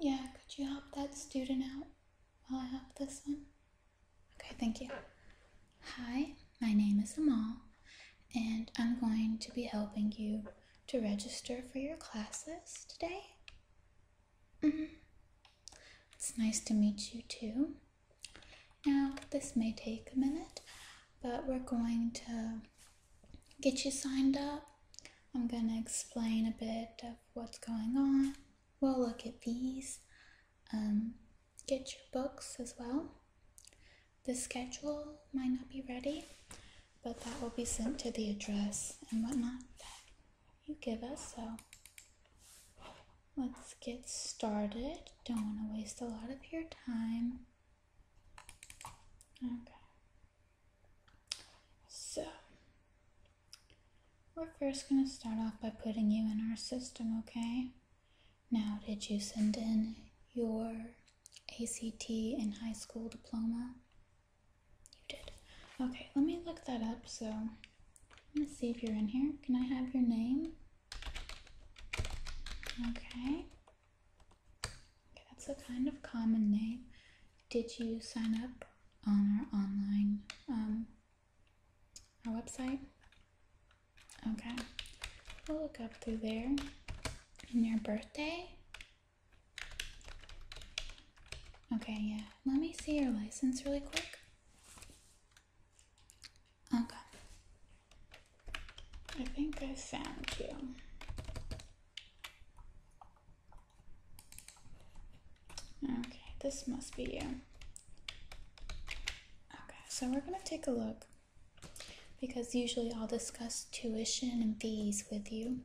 Yeah, could you help that student out while I help this one? Okay, thank you. Hi, my name is Amal, and I'm going to be helping you to register for your classes today. Mm-hmm. It's nice to meet you too. Now, this may take a minute, but we're going to get you signed up. I'm gonna explain a bit of what's going on. We'll look at these. Um, get your books as well. The schedule might not be ready, but that will be sent to the address and whatnot that you give us. So let's get started. Don't want to waste a lot of your time. Okay. So, we're first going to start off by putting you in our system, okay? Now, did you send in your ACT and high school diploma? You did. Okay, let me look that up. So, let me see if you're in here. Can I have your name? okay. That's a kind of common name. Did you sign up on our online um, our website? Okay, we'll look up through there. And your birthday? Okay, yeah. Let me see your license really quick. Okay. I think I found you. Okay, this must be you. Okay, so we're gonna take a look because usually I'll discuss tuition and fees with you,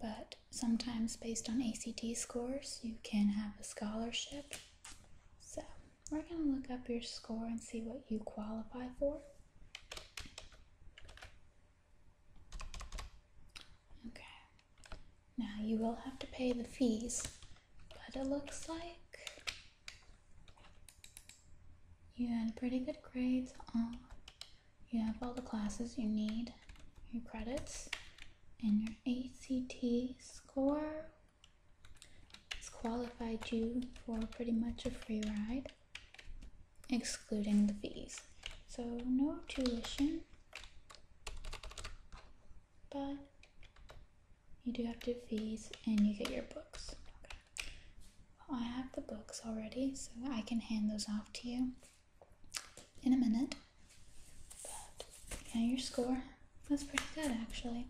but sometimes based on ACT scores, you can have a scholarship. So we're gonna look up your score and see what you qualify for. Okay. Now you will have to pay the fees, but it looks like you had pretty good grades. On. You have all the classes you need, your credits, and your ACT score. It's qualified you for pretty much a free ride excluding the fees. So no tuition, but you do have to fees and you get your books. Okay. I have the books already, so I can hand those off to you in a minute. yeah, your score was pretty good actually.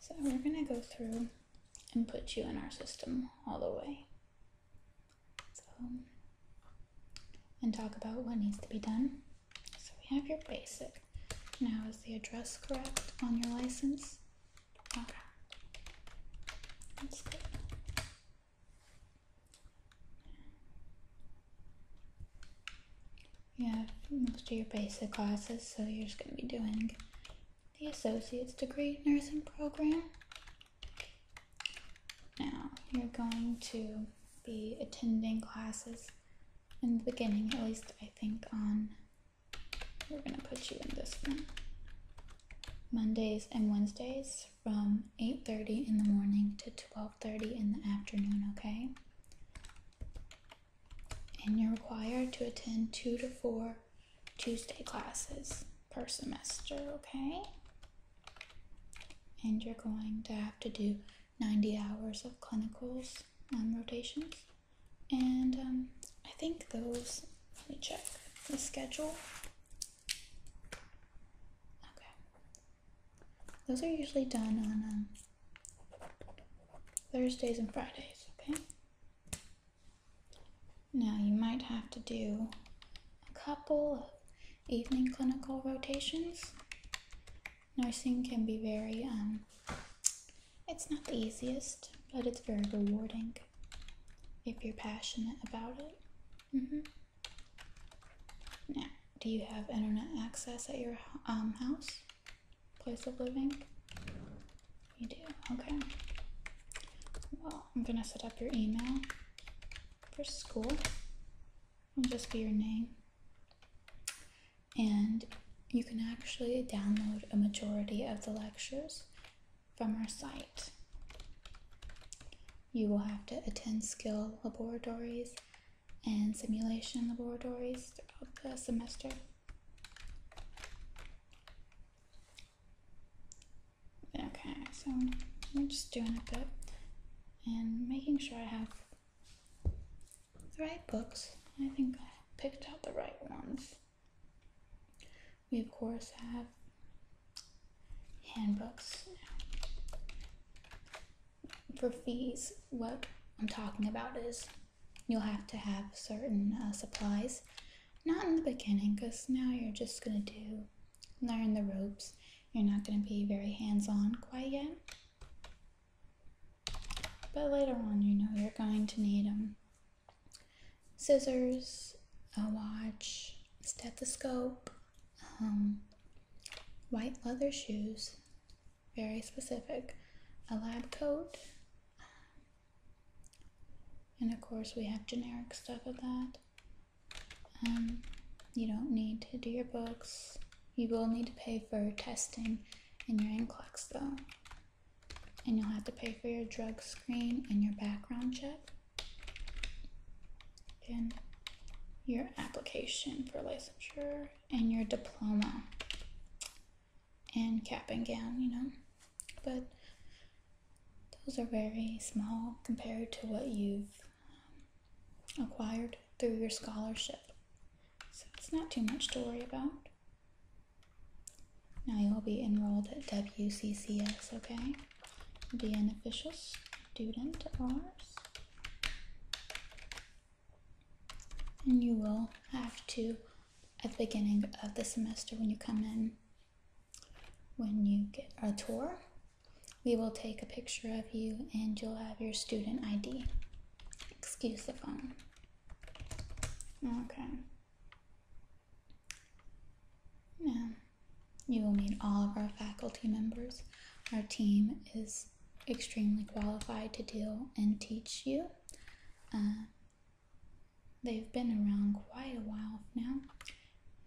So we're gonna go through and put you in our system all the way. So, and talk about what needs to be done. So we have your basic. Now, is the address correct on your license? Okay. That's good. You have most of your basic classes, so you're just going to be doing the associate's degree nursing program. Now, you're going to be attending classes in the beginning, at least I think on, we're going to put you in this one. Mondays and Wednesdays from 8.30 in the morning to 12.30 in the afternoon, okay? And you're required to attend two to four Tuesday classes per semester, okay? And you're going to have to do 90 hours of clinicals and rotations. And um, I think those, let me check the schedule. Okay. Those are usually done on um, Thursdays and Fridays, okay? Now you might have to do a couple of evening clinical rotations. Nursing can be very, um, it's not the easiest, but it's very rewarding if you're passionate about it. Mm-hmm. Now, do you have internet access at your um, house, place of living? You do? Okay. Well, I'm gonna set up your email for school. It'll just be your name. And you can actually download a majority of the lectures from our site. You will have to attend skill laboratories and simulation laboratories throughout the semester. Okay, so I'm just doing a bit and making sure I have the right books. I think I picked out the right ones. We, of course, have handbooks for fees. What I'm talking about is you'll have to have certain uh, supplies not in the beginning, because now you're just going to do learn the ropes. You're not going to be very hands on quite yet. But later on, you know you're going to need them um, scissors, a watch, stethoscope, um, white leather shoes, very specific, a lab coat, and of course, we have generic stuff of that. Um, you don't need to do your books. You will need to pay for testing in your NCLEX though. And you'll have to pay for your drug screen and your background check. And your application for licensure and your diploma and cap and gown, you know. But those are very small compared to what you've um, acquired through your scholarship. So it's not too much to worry about. Now you'll be enrolled at WCCS, okay? Be an official student of ours. And you will have to at the beginning of the semester when you come in, when you get a tour, we will take a picture of you and you'll have your student ID. Excuse the phone. Okay. Now, you will meet all of our faculty members. Our team is extremely qualified to deal and teach you. Uh, They've been around quite a while now,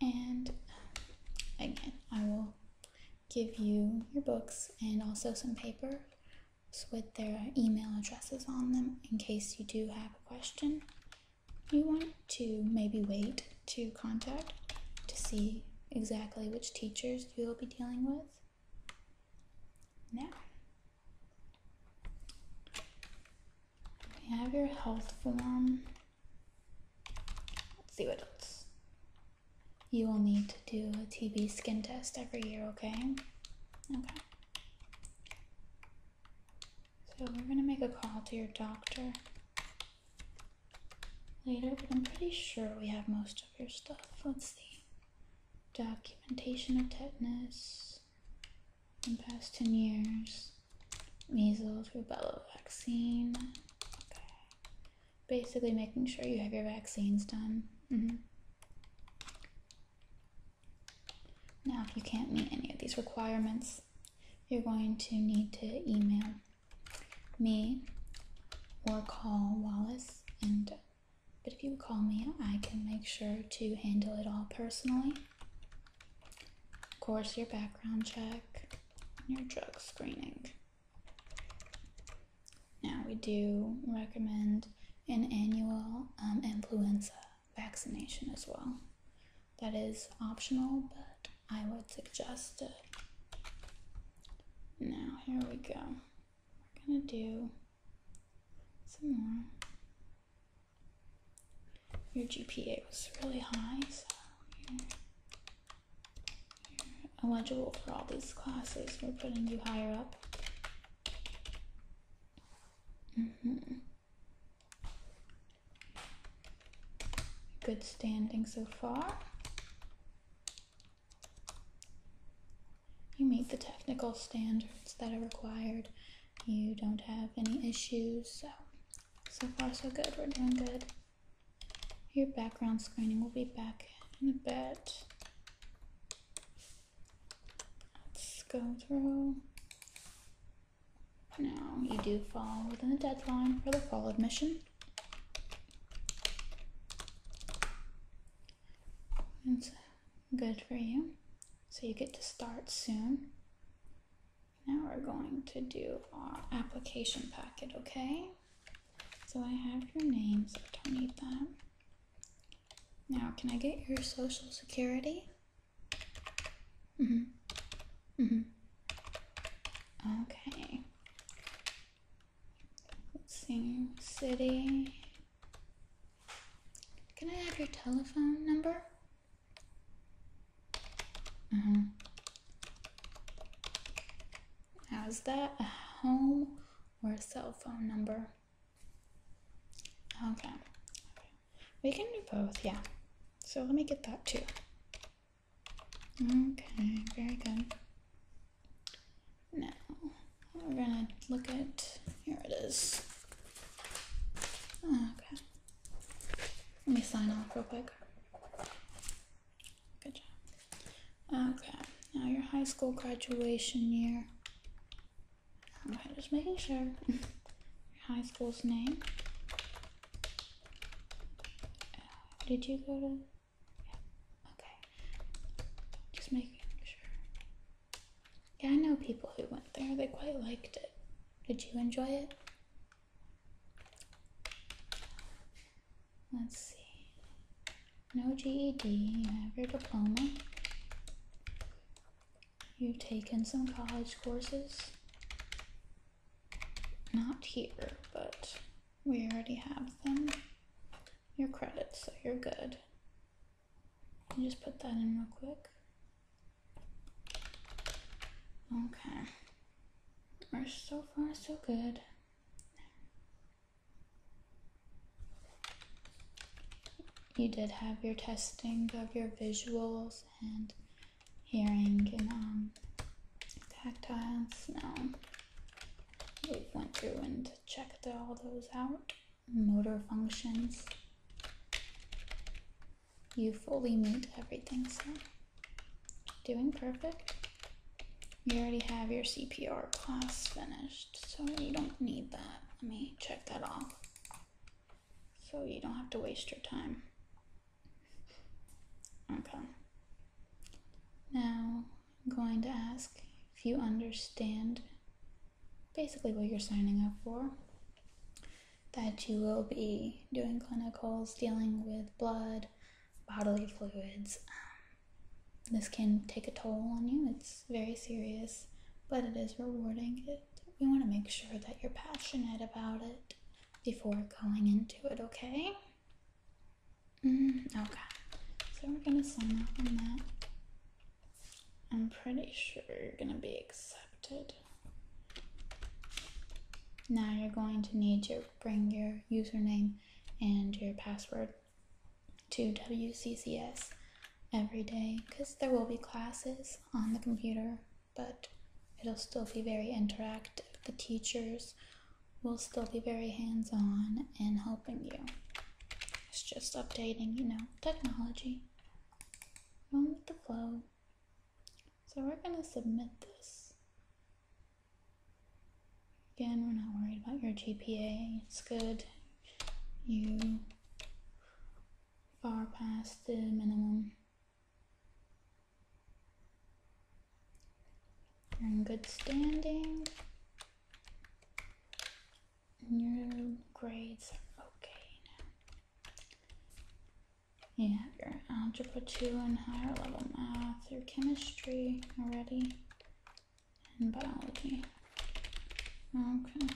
and um, again, I will give you your books and also some paper with their email addresses on them in case you do have a question you want to maybe wait to contact to see exactly which teachers you will be dealing with. Now, we have your health form. Let's see what else. You will need to do a TB skin test every year, okay? Okay. So we're gonna make a call to your doctor later, but I'm pretty sure we have most of your stuff. Let's see. Documentation of tetanus in the past 10 years. Measles, rubella vaccine. Okay. Basically, making sure you have your vaccines done. Mm-hmm. Now, if you can't meet any of these requirements, you're going to need to email me or call Wallace and but if you call me, I can make sure to handle it all personally. Of course, your background check, your drug screening. Now, we do recommend an annual um, influenza vaccination as well. That is optional, but I would suggest it. Now, here we go. We're gonna do some more. Your GPA was really high, so you're, you eligible for all these classes. We're putting you higher up. Mm-hmm. Good standing so far you meet the technical standards that are required. You don't have any issues. So, so far, so good. We're doing good. Your background screening will be back in a bit. Let's go through. Now, you do fall within the deadline for the fall admission. Good for you. So you get to start soon. Now we're going to do our application packet, okay? So I have your name, so don't need that. Now, can I get your social security? Mm-hmm. Mm-hmm. Okay. Let's see. City, can I have your telephone number? Mm-hmm. Now, that a home or a cell phone number? okay. We can do both, yeah. So let me get that too. Okay, very good. Now we're gonna look at here it is. Oh, okay. Let me sign off real quick. Good job. Okay, now your high school graduation year. Okay, just making sure. high school's name. Uh, did you go to? Okay. Just making sure. Yeah, I know people who went there. They quite liked it. Did you enjoy it? Let's see. No GED, you have your diploma. You've taken some college courses. Not here, but we already have them your credits, so you're good. just put that in real quick. Okay. We're so far so good. You did have your testing of your visuals and hearing and um, tactile smell. We went through and checked all those out motor functions. You fully meet everything, so doing perfect. You already have your CPR class finished, so you don't need that. Let me check that off so you don't have to waste your time. Okay. Now, I'm going to ask if you understand basically what you're signing up for that you will be doing clinicals dealing with blood, bodily fluids. Um, this can take a toll on you, it's very serious, but it is rewarding. we want to make sure that you're passionate about it before going into it, okay? Mm, okay, so we're gonna sign up on that. I'm pretty sure you're gonna be accepted. Now you're going to need to bring your username and your password to WCCS every day because there will be classes on the computer, but it'll still be very interactive. The teachers will still be very hands on and help. It's just updating, you know, technology. Going with the flow. So we're gonna submit this. Again, we're not worried about your GPA. It's good. You far past the minimum. You're in good standing. Your grades are okay now. You have your algebra 2 and higher level math, your chemistry already, and biology. Okay.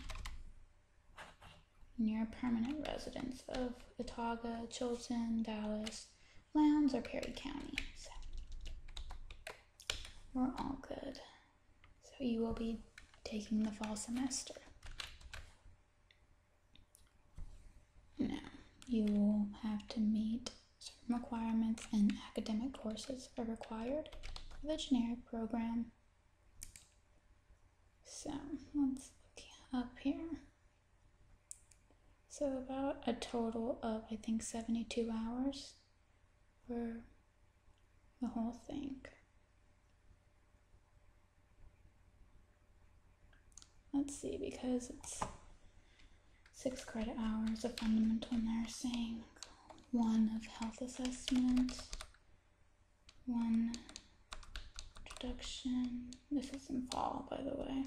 And you're a permanent resident of Otaga, Chilton, Dallas, Lowndes, or Perry County we're all good. So you will be taking the fall semester. Now, you will have to meet certain requirements and academic courses are required for the generic program. So, let's look up here. So, about a total of, I think, 72 hours for the whole thing. Let's see, because it's six credit hours of fundamental nursing, one of health assessment, one introduction. This is in fall, by the way.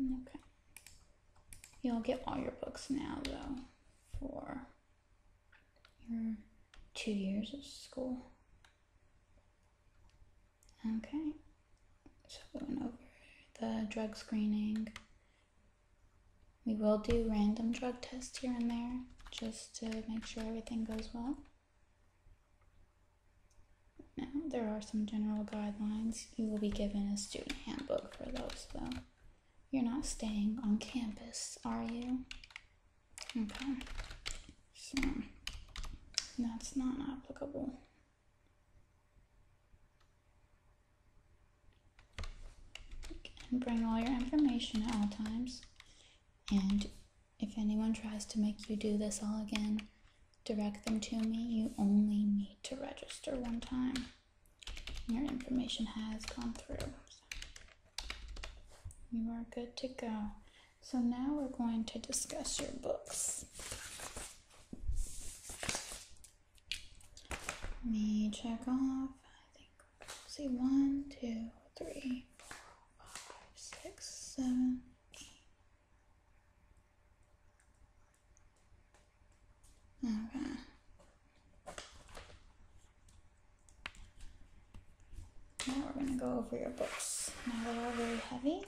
Okay. You'll get all your books now, though, for your two years of school. Okay. So we went over the drug screening. We will do random drug tests here and there just to make sure everything goes well. Now, there are some general guidelines. You will be given a student handbook for those, though. You're not staying on campus, are you? Okay. So, that's not applicable. And bring all your information at all times. And if anyone tries to make you do this all again, direct them to me. You only need to register one time. Your information has gone through. You are good to go. So now we're going to discuss your books. Let me check off. I think see one, two, three, four, five, six, seven, Okay. Now we're going to go over your books. Now they're all very heavy.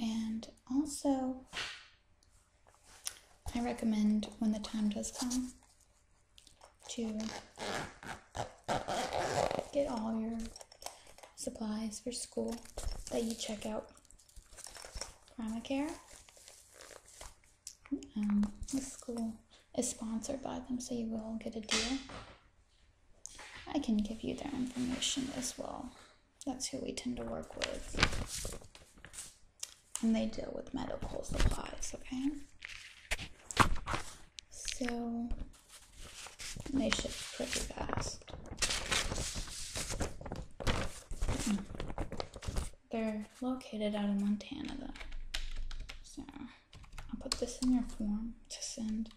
And also, I recommend when the time does come to get all your supplies for school that you check out. Primacare. Um, the school is sponsored by them, so you will get a deal. I can give you their information as well. That's who we tend to work with. And they deal with medical supplies, okay? So they ship pretty fast. They're located out in Montana though. So I'll put this in your form to send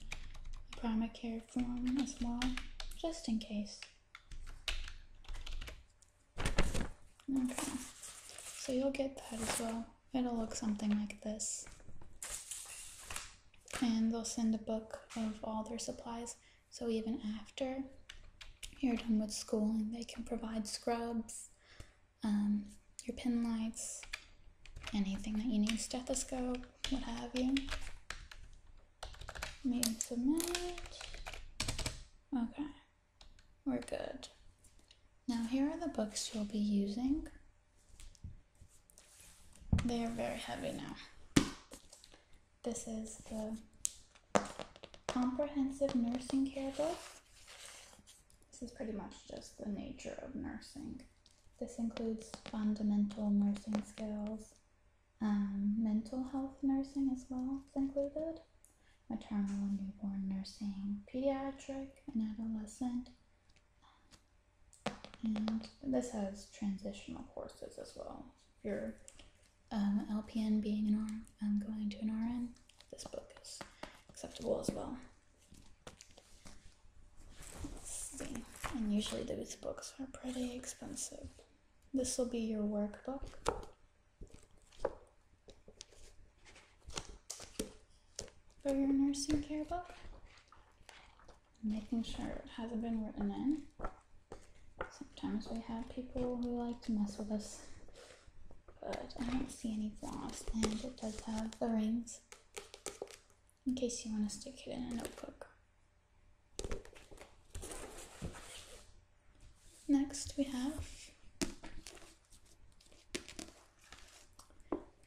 the primary care form as well, just in case. Okay, so you'll get that as well. It'll look something like this and they'll send a book of all their supplies. So even after you're done with schooling, they can provide scrubs, um, your pen lights, anything that you need, stethoscope, what have you. submit. Okay, we're good. Now here are the books you'll be using. They are very heavy now. This is the Comprehensive Nursing Care Book. This is pretty much just the nature of nursing. This includes fundamental nursing skills, um, mental health nursing as well is included, maternal and newborn nursing, pediatric and adolescent, and this has transitional courses as well. If LPN um, being an RN, um, going to an RN, this book is acceptable as well. Let's see. And usually these books are pretty expensive. This will be your workbook. For your nursing care book making sure it hasn't been written in. Sometimes we have people who like to mess with us, but I don't see any flaws, and it does have the rings in case you want to stick it in a notebook. Next, we have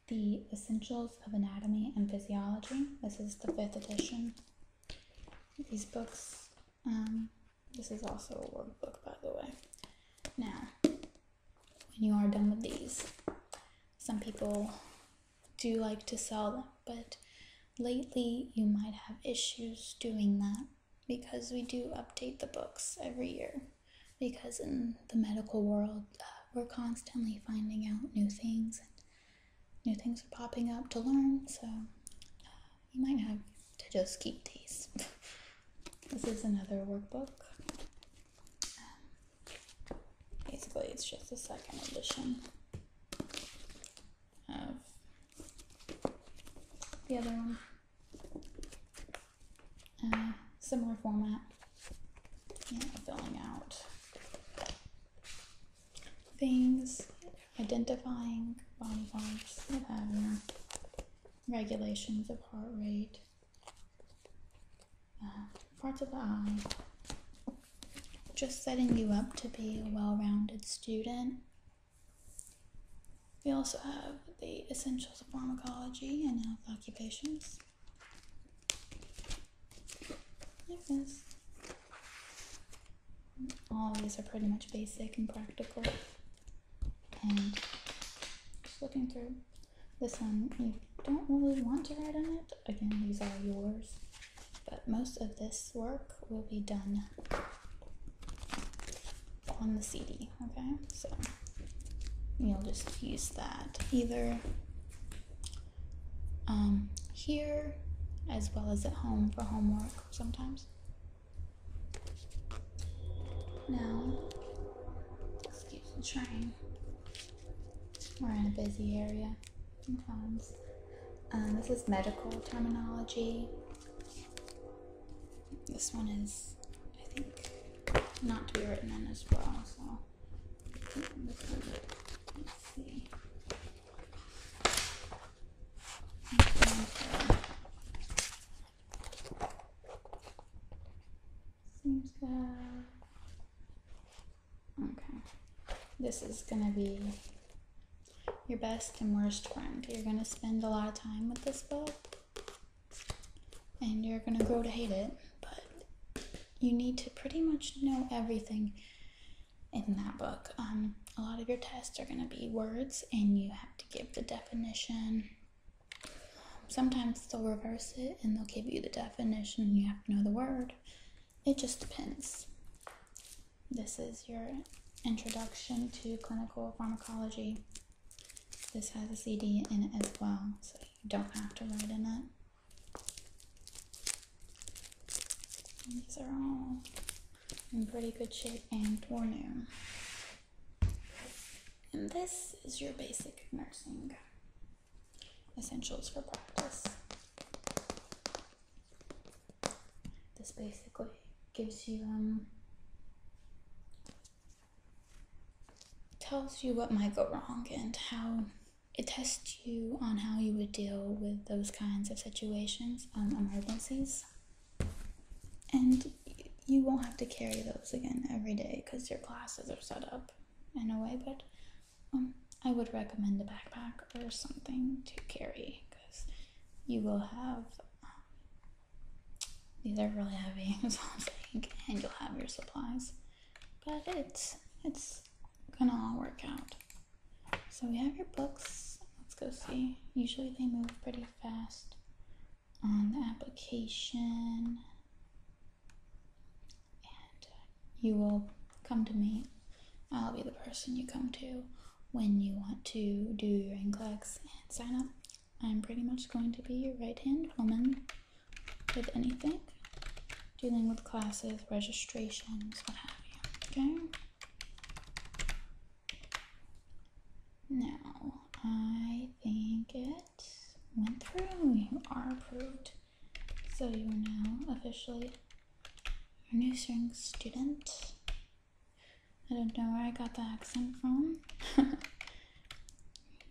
the Essentials of Anatomy and Physiology. This is the fifth edition. These books. Um, this is also a workbook, by the way. Now, when you are done with these, some people do like to sell them, but lately you might have issues doing that because we do update the books every year because in the medical world, uh, we're constantly finding out new things and new things are popping up to learn. So uh, you might have to just keep these. this is another workbook. Um, basically, it's just a second edition of the other one. Uh, similar format filling out things, identifying body parts, what um, regulations of heart rate, uh, parts of the eye, just setting you up to be a well rounded student. We also have the essentials of pharmacology and health occupations. Yes. All these are pretty much basic and practical. And just looking through this one, you don't really want to write on it. Again, these are yours. But most of this work will be done on the CD, okay? So you'll just use that either um, here as well as at home for homework sometimes. Now, let the train. We're in a busy area sometimes. Um, this is medical terminology. This one is, I think, not to be written in as well, so Seems good. Okay. This is gonna be your best and worst friend. You're gonna spend a lot of time with this book and you're gonna grow to hate it, but you need to pretty much know everything in that book. Um, a lot of your tests are gonna be words, and you have to give the definition. Sometimes they'll reverse it and they'll give you the definition, and you have to know the word. It just depends. This is your introduction to clinical pharmacology. This has a CD in it as well, so you don't have to write in it. These are all in pretty good shape and or new. And this is your basic nursing essentials for practice. This basically gives you um, tells you what might go wrong and how it tests you on how you would deal with those kinds of situations, um, emergencies. And you won't have to carry those again every day because your classes are set up in a way, but um, I would recommend a backpack or something to carry because you will have um, these are really heavy, I'm and you'll have your supplies. But it's it's gonna all work out. So we have your books. Let's go see. Usually they move pretty fast on the application. And uh, you will come to me. I'll be the person you come to when you want to do your NCLEX and sign up. I'm pretty much going to be your right hand woman with anything dealing with classes, registrations, what have you. Okay. Now, I think it went through. You are approved. So you are now officially a new spring student. I don't know where I got the accent from.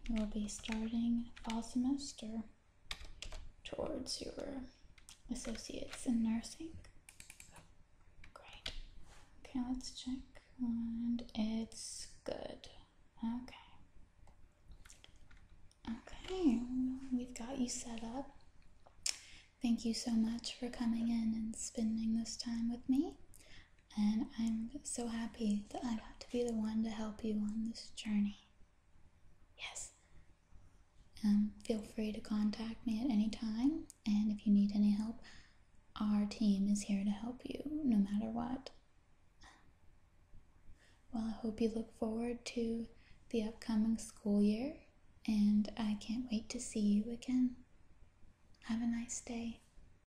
You'll be starting fall semester towards your associates in nursing. Great. Okay, let's check. And it's good. Okay. Okay, we've got you set up. Thank you so much for coming in and spending this time with me and I'm so happy that I got to be the one to help you on this journey. Yes. Um, feel free to contact me at any time, and if you need any help, our team is here to help you no matter what. Well, I hope you look forward to the upcoming school year, and I can't wait to see you again. Have a nice day.